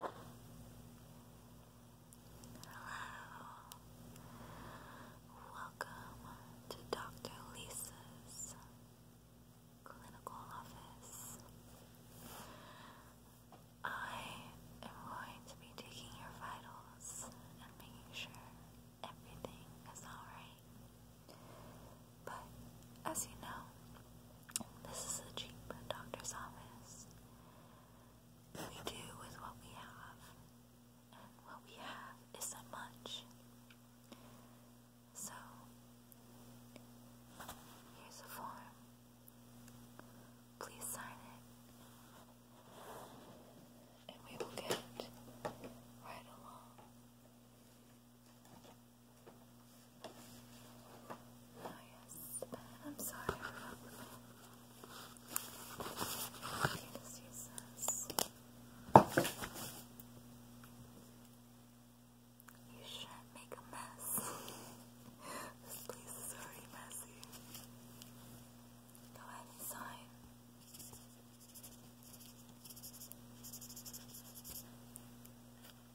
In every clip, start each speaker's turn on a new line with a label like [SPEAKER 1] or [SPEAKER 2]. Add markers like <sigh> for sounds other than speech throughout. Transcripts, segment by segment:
[SPEAKER 1] Hello, welcome to Dr. Lisa's clinical office. I am going to be taking your vitals and making sure everything is alright. But as you know, this is a cheap doctor's office we do with what we have, and what we have isn't much. So, here's a form. Please sign it, and we will get right along. Oh yes, I'm sorry You shouldn't make a mess. this place is already messy. Go ahead and sign.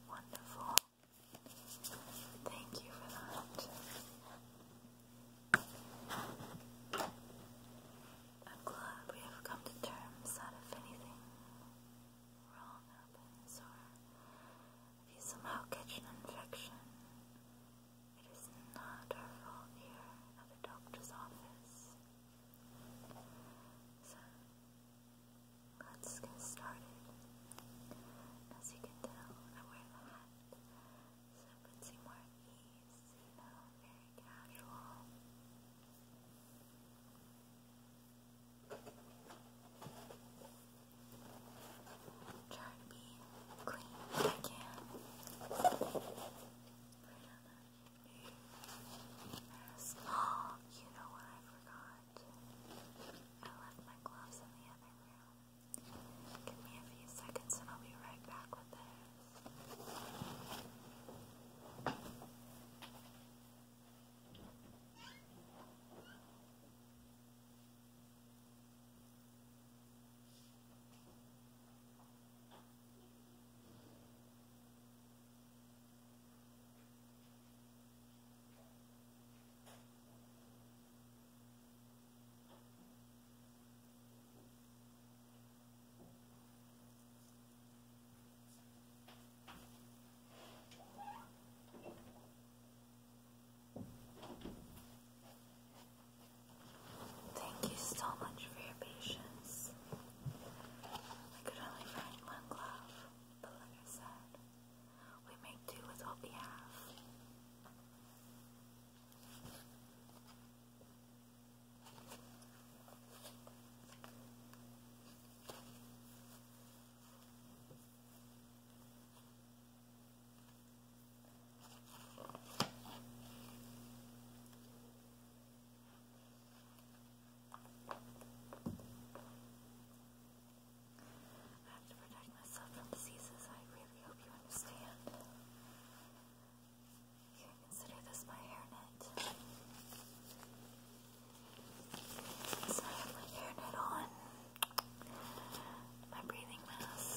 [SPEAKER 1] Wonderful. Thank you for that. I'm glad we have come to terms that if anything wrong happens or if you somehow catch an infection, it is not our fault here at the doctor's office. So, let's get started. As you can tell, I wear the hat, so more at very casual. Try to be clean if I you know what I forgot? I left my gloves in the other room. Give me a few seconds and I'll be right back with this. Thank you so much for your patience. I could only find one glove, but like I said, we may do with what we I have to protect myself from diseases. I really hope you understand. Here, consider this my hairnet. So I have my hairnet on, my breathing mask.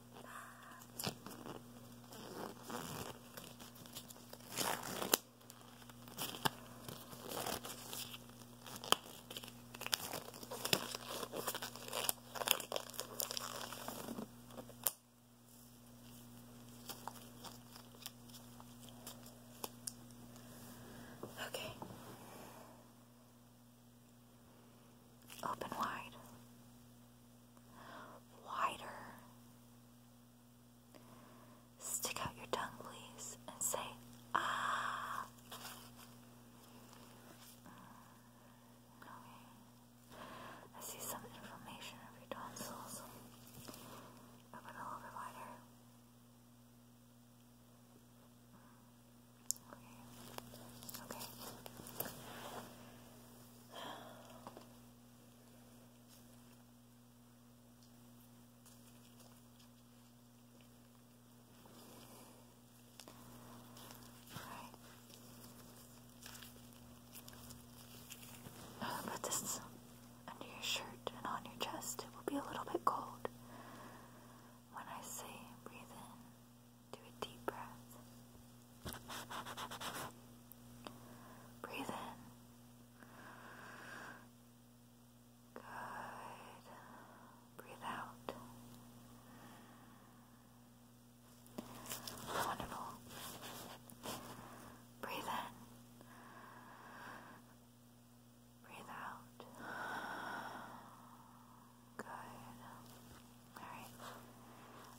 [SPEAKER 1] Okay. Open wide wider. Stick out your tongue, please, and say, ah. Okay. I see some inflammation of your tonsils. a little bit wider. Okay. Okay. All right. Put oh, this under your shirt and on your chest. It will be a little bit cold. When I say breathe in, do a deep breath. Breathe in. Good. Breathe out. Wonderful. Breathe in. Breathe out. Good. All right.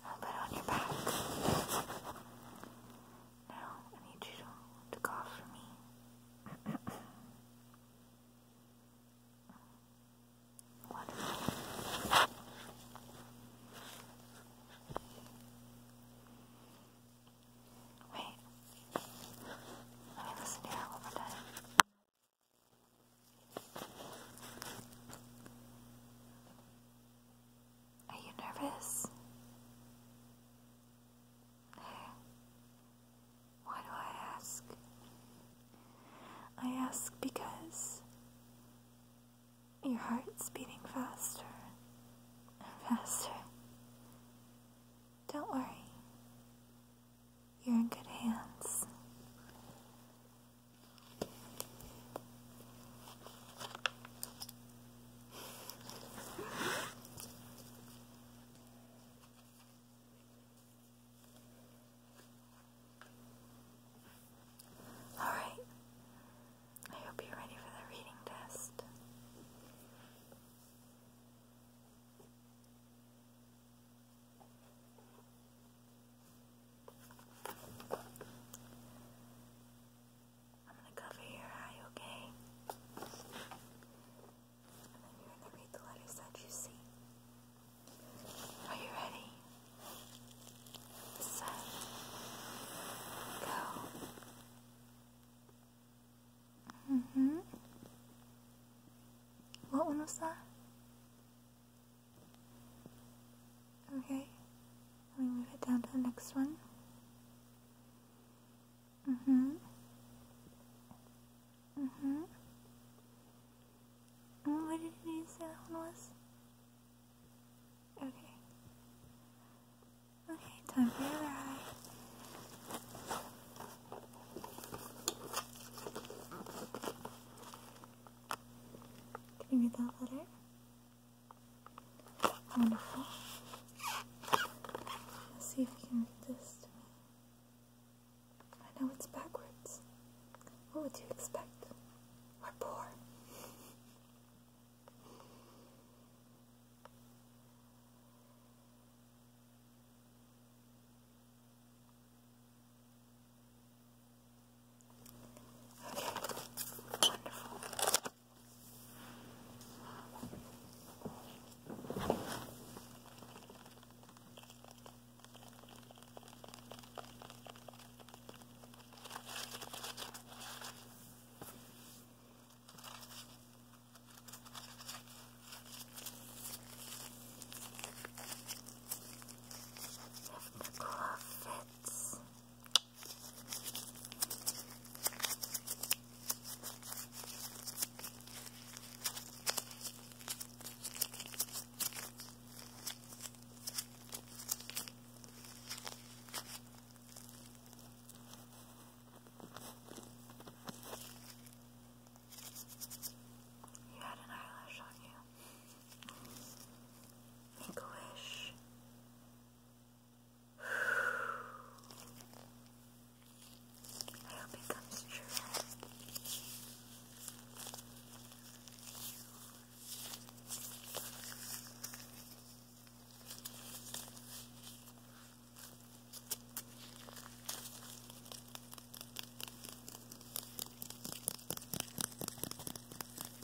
[SPEAKER 1] I'll put it on your back. Now, I need you to, to for me. Wonderful. Wait. Let me listen to that one more time. Are you nervous? Why do I ask? I ask because your heart's beating faster and faster. Don't worry, you're in good hands. All right. I hope you're ready for the reading test. I'm gonna cover your eye, okay? And then you're gonna read the letters that you see. Are you ready? Set.
[SPEAKER 2] Go. hmm
[SPEAKER 1] What one was that? Okay, let me move it down to the next one. Mm-hmm. Mm-hmm. Mm, what did you say that one was? Okay. Okay, time for your eye.
[SPEAKER 2] Can you read that letter? Wonderful. Let's see if you can read this to me. I know it's backwards. What would you expect? We're poor. Okay, wonderful. If the glove fits, you had an eyelash on you. Make a wish. <sighs> I hope it comes true.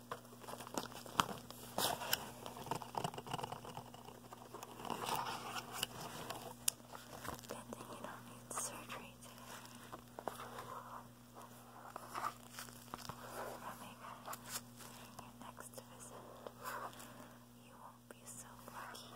[SPEAKER 1] Good thing you don't need surgery today. Coming your next visit, you won't be so lucky.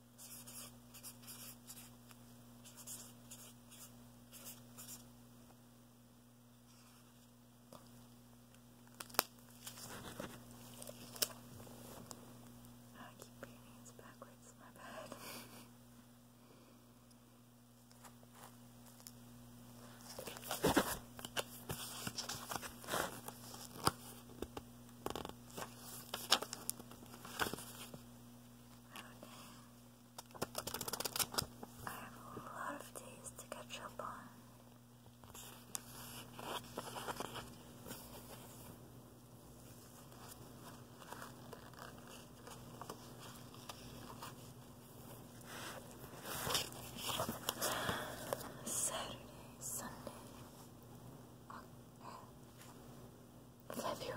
[SPEAKER 1] I keep painting this backwards, my bad. I have a lot of days to catch up on. Saturday, Sunday, February 11th weekend.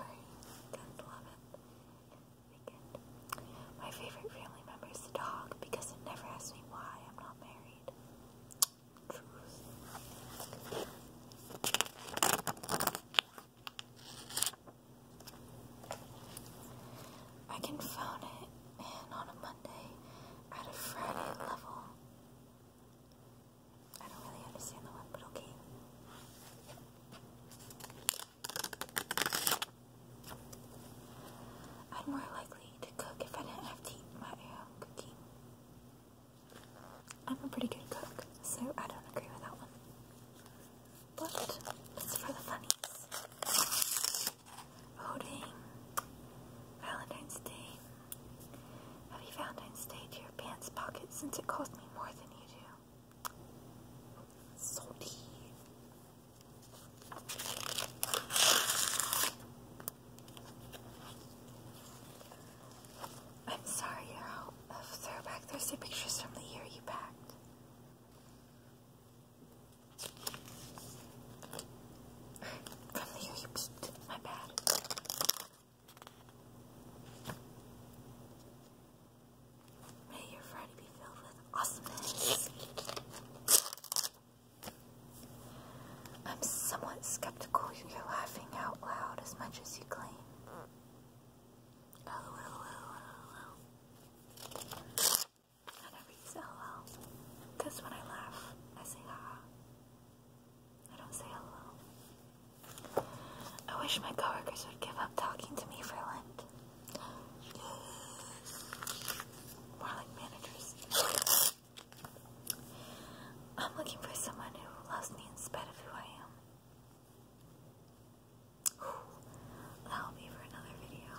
[SPEAKER 1] My favorite family member is the dog because it never asks me why I'm not married. Truth. I can phone it in on a Monday at a Friday level. I don't really understand the one, but okay. I'd more likely to cook if I didn't have to eat my own uh, cooking. I'm a pretty good cook, so I don't agree with that one. But it's for the funnies. Oh Valentine's Day. Have you found any stage stayed your pants pocket since it cost me more than you do? Salty. I'm sorry, I'll, I'll throw Thursday pictures from the year you packed. From the year you peeked, my bad.
[SPEAKER 2] May your Friday be filled with awesomeness.
[SPEAKER 1] I'm somewhat skeptical you're laughing out loud as much as you claim. I never use LOL. Because when I laugh, I say ha. I don't say hello. I wish my coworkers would give up talking to me for Lent. More like managers. I'm looking for someone who loves me in spite of who I am. That'll for another video.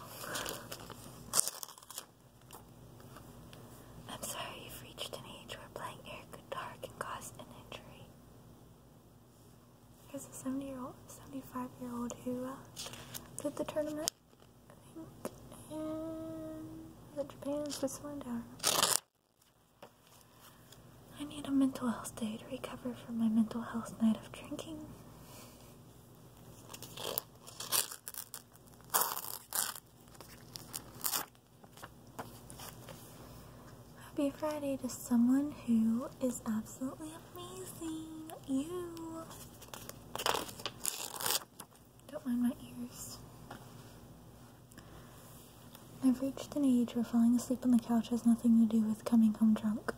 [SPEAKER 1] I'm sorry you've reached an age where playing air a dart can an injury.
[SPEAKER 2] There's a 70 year old, 75 year old who uh, did the tournament, I think, in Japan, Switzerland, I need a mental health day to recover from my mental health night of drinking. Happy Friday to someone who is absolutely amazing. You. Don't mind my ears. I've reached an age where falling asleep on the couch has nothing to do with coming home drunk.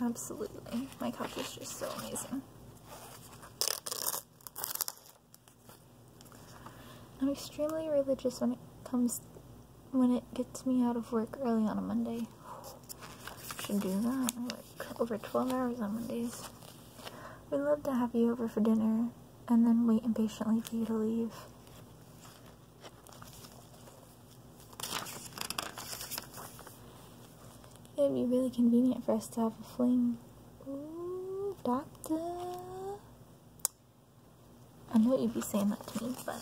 [SPEAKER 2] Absolutely. My couch is just so amazing. I'm extremely religious when it comes when it gets me out of work early on a Monday. Should do that. Like over 12 hours on Mondays. We'd love to have you over for dinner and then wait impatiently for you to leave. It'd be really convenient for us to have a fling. Ooh, doctor. I know you'd be saying that to me, but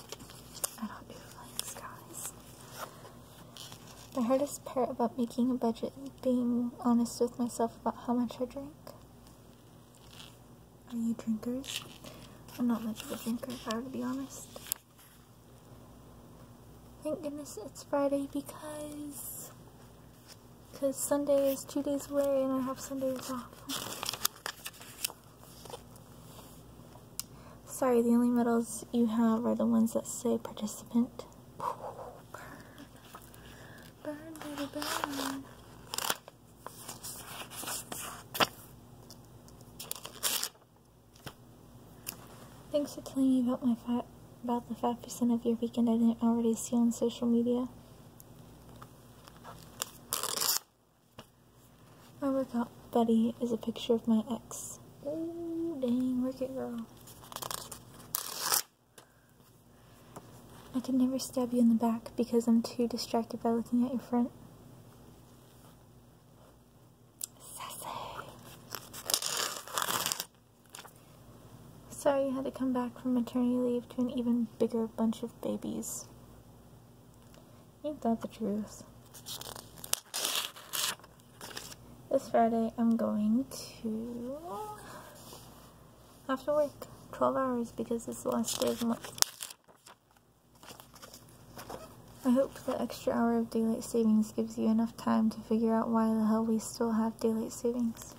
[SPEAKER 2] I don't do flying guys. The hardest part about making a budget is being honest with myself about how much I drink. Are you drinkers? I'm not much of a drinker if I were to be honest. Thank goodness it's Friday because because Sunday is two days away and I have Sundays off. <laughs> Sorry, the only medals you have are the ones that say participant. <laughs> Thanks for telling me about my about the 5% of your weekend I didn't already see on social media. My workout buddy is a picture of my ex. Oh, dang, wicked girl. I can never stab you in the back because I'm too distracted by looking at your front. Sassy. Sorry you had to come back from maternity leave to an even bigger bunch of babies. Ain't that the truth? This Friday I'm going to... have to work. 12 hours because it's the last day of the month. I hope the extra hour of daylight savings gives you enough time to figure out why the hell we still have daylight savings.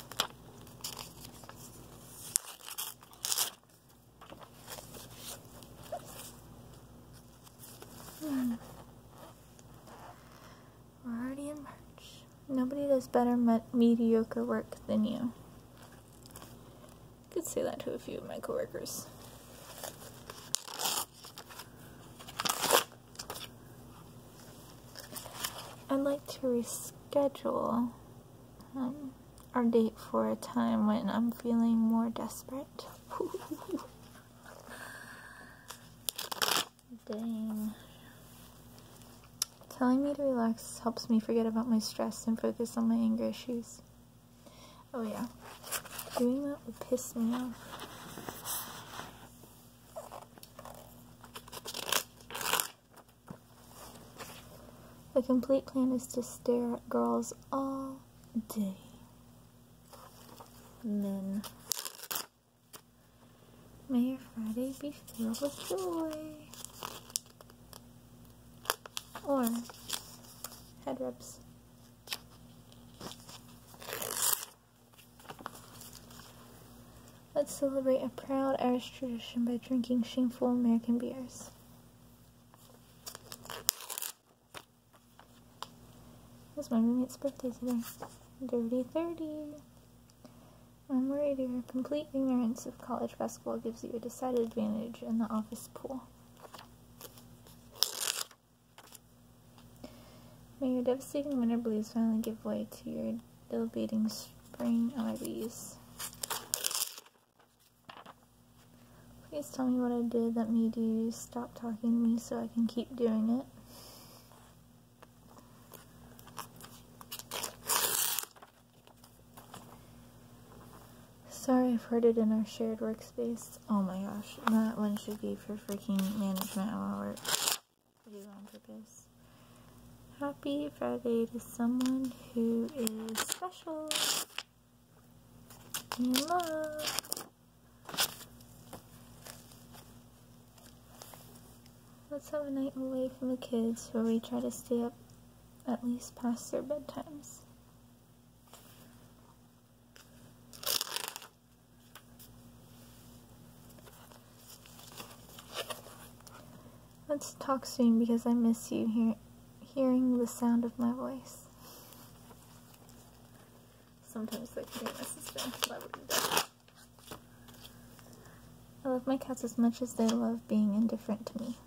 [SPEAKER 2] Hmm. We're already in March. Nobody does better mediocre work than you. could say that to a few of my coworkers. I'd like to reschedule um, our date for a time when I'm feeling more desperate. <laughs> Dang. Telling me to relax helps me forget about my stress and focus on my anger issues. Oh yeah. Doing that would piss me off. The complete plan is to stare at girls all day. Men. May your Friday be filled with joy. Or head rubs. Let's celebrate a proud Irish tradition by drinking shameful American beers. It's my roommate's birthday today. Dirty 30. I'm worried your complete ignorance of college basketball gives you a decided advantage in the office pool. May your devastating winter blues finally give way to your elevating spring ivies. Please tell me what I did that made you stop talking to me so I can keep doing it. Sorry, I've heard it in our shared workspace. Oh my gosh, that one should be for freaking management hour. Do on purpose. Happy Friday to someone who is special in love. Let's have a night away from the kids where we try to stay up at least past their bedtimes. Let's talk soon because I miss you hearing the sound of my voice. Sometimes they can be necessary. Why I love my cats as much as they love being indifferent to me.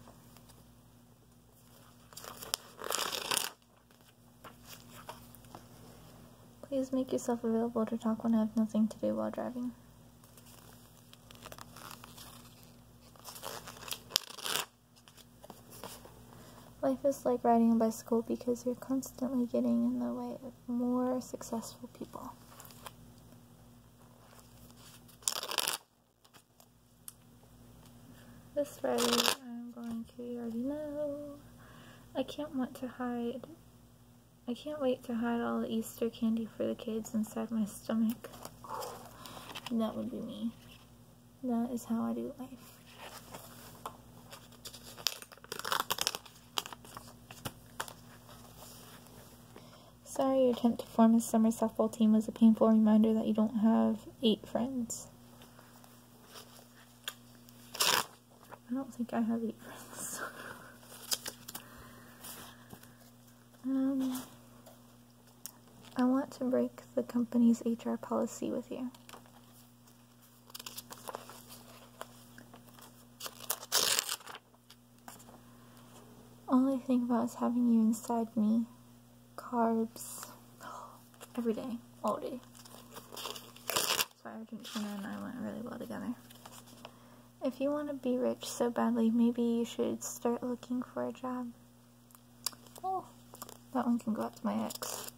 [SPEAKER 2] Please make yourself available to talk when I have nothing to do while driving. Life is like riding a bicycle because you're constantly getting in the way of more successful people. This Friday I'm going to, you already know. I can't want to hide I can't wait to hide all the Easter candy for the kids inside my stomach. <sighs> That would be me. That is how I do life. Sorry your attempt to form a summer softball team was a painful reminder that you don't have eight friends. I don't think I have eight friends. <laughs> Um, I want to break the company's HR policy with you. All I think about is having you inside me. Carbs. <sighs> Every day. All day. So Argentina and I went really well together. If you want to be rich so badly, maybe you should start looking for a job. Oh, that one can go up to my ex.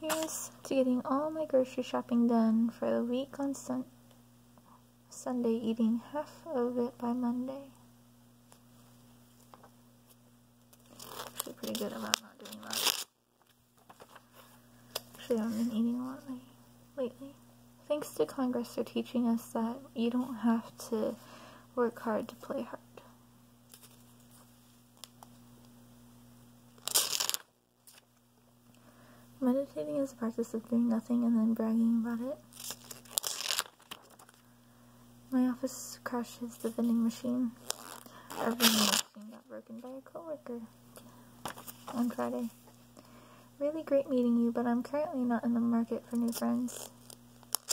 [SPEAKER 2] Here's to getting all my grocery shopping done for the week on sun Sunday, eating half of it by Monday. Actually pretty good about not doing that. Actually, I've been eating a lot lately. Thanks to Congress for teaching us that you don't have to work hard to play hard. Meditating is a practice of doing nothing and then bragging about it. My office crashes the vending machine every morning and got broken by a coworker on Friday. Really great meeting you, but I'm currently not in the market for new friends. <sighs>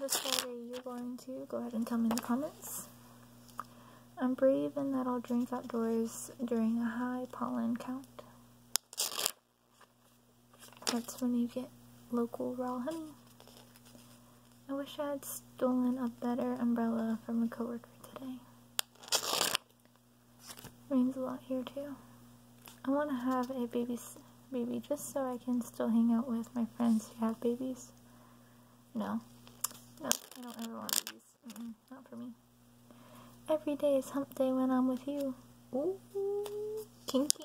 [SPEAKER 2] this Friday, you're going to go ahead and tell me in the comments. I'm brave in that I'll drink outdoors during a high pollen count. That's when you get local raw honey. I wish I had stolen a better umbrella from a coworker today. Rains a lot here too. I want to have a baby, baby just so I can still hang out with my friends who have babies. No. No, I don't ever want babies. not for me. Every day is hump day when I'm with you. Ooh, kinky.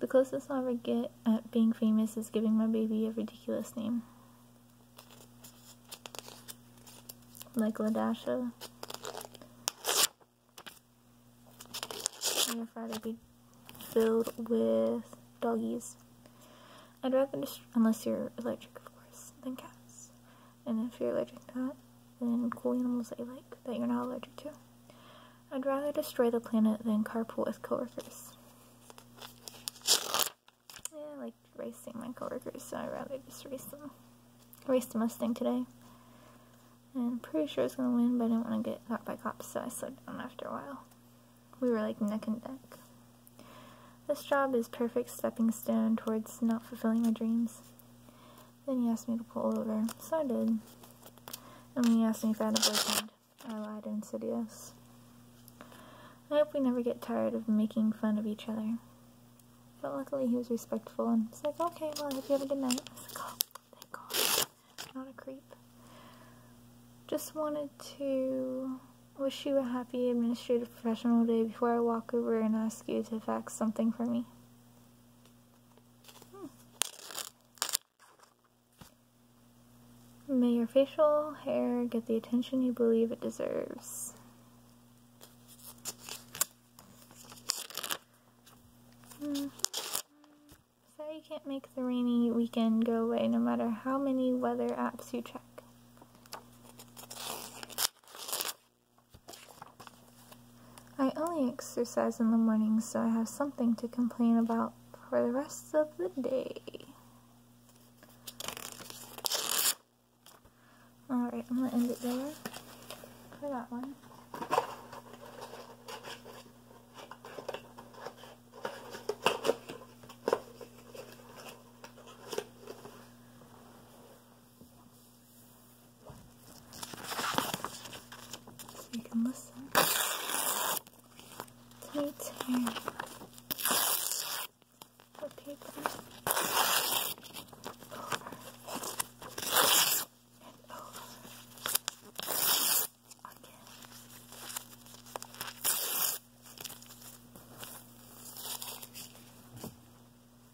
[SPEAKER 2] The closest I'll ever get at being famous is giving my baby a ridiculous name. Like Ladasha. Your Friday be filled with doggies. I'd rather, unless you're electric, of course, than cats and if you're allergic to that, then cool animals that you like that you're not allergic to. I'd rather destroy the planet than carpool with coworkers. Yeah, I like racing my coworkers, so I'd rather just race them. I raced a Mustang today. And I'm pretty sure it's going to win, but I didn't want to get caught by cops, so I slowed down after a while. We were like neck and neck. This job is perfect stepping stone towards not fulfilling my dreams. Then he asked me to pull over, so I did. And when he asked me if I had a boyfriend, I lied insidious. I hope we never get tired of making fun of each other. But luckily he was respectful and was like, okay, well, I hope you have a good night. I was like, oh, thank God. not a creep. Just wanted to wish you a happy administrative professional day before I walk over and ask you to fax something for me. Hmm. May your facial hair get the attention you believe it deserves. Hmm. you can't make the rainy weekend go away no matter how many weather apps you check. I only exercise in the morning, so I have something to complain about for the rest of the day. Alright, I'm going to end it there for that one. So you can listen to it here. Repeat that over and over again.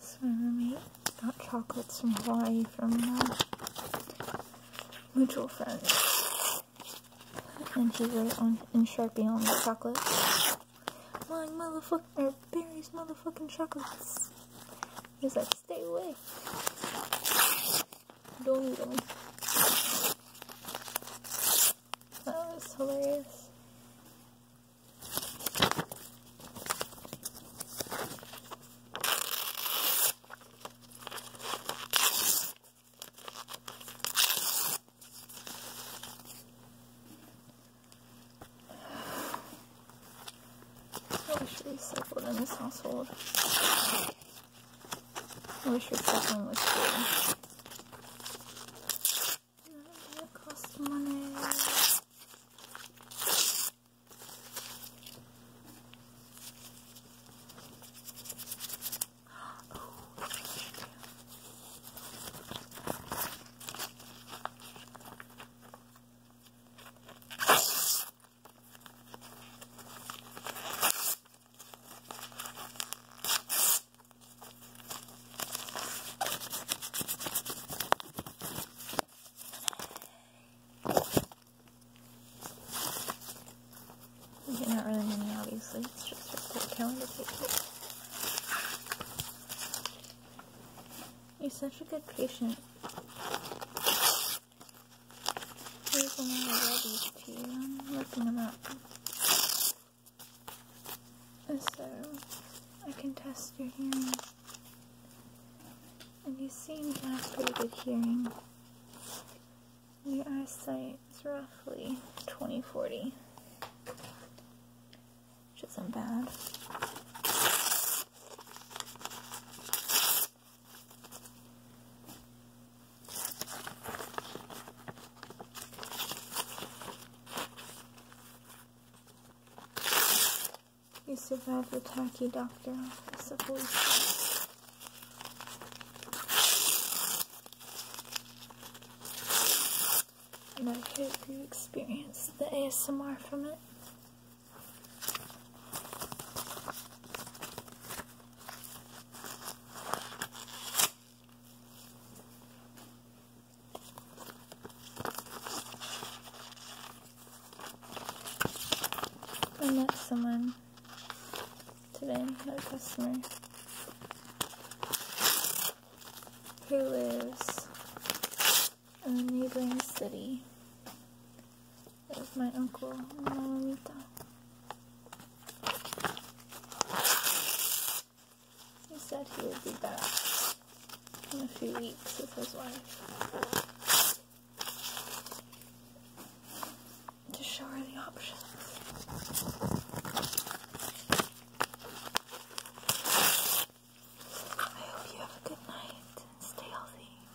[SPEAKER 2] So we got chocolates from Hawaii from uh, mutual friend, And she wrote on in Sharpie on the chocolate, My motherfucking berries motherfucking chocolates. What is like, Stay away. Don't eat them. That was hilarious. <sighs> I should recycle in this household. I wish your second was good. That costs money. These are not really many, obviously. It's just a full calendar page. You're such a good patient. Here's another red HP. I'm looking them up. So, I can test your hearing. And you seem to have pretty good hearing. Your eyesight is roughly 20/40, which isn't bad. You survived the tacky doctor I of police. And I hope you experienced the ASMR from it. I met someone today, another customer, who lives in a neighboring city. There's my uncle and Mamita. He said he would be back in a few weeks with his wife to show her the options. I hope you have a good night and stay healthy.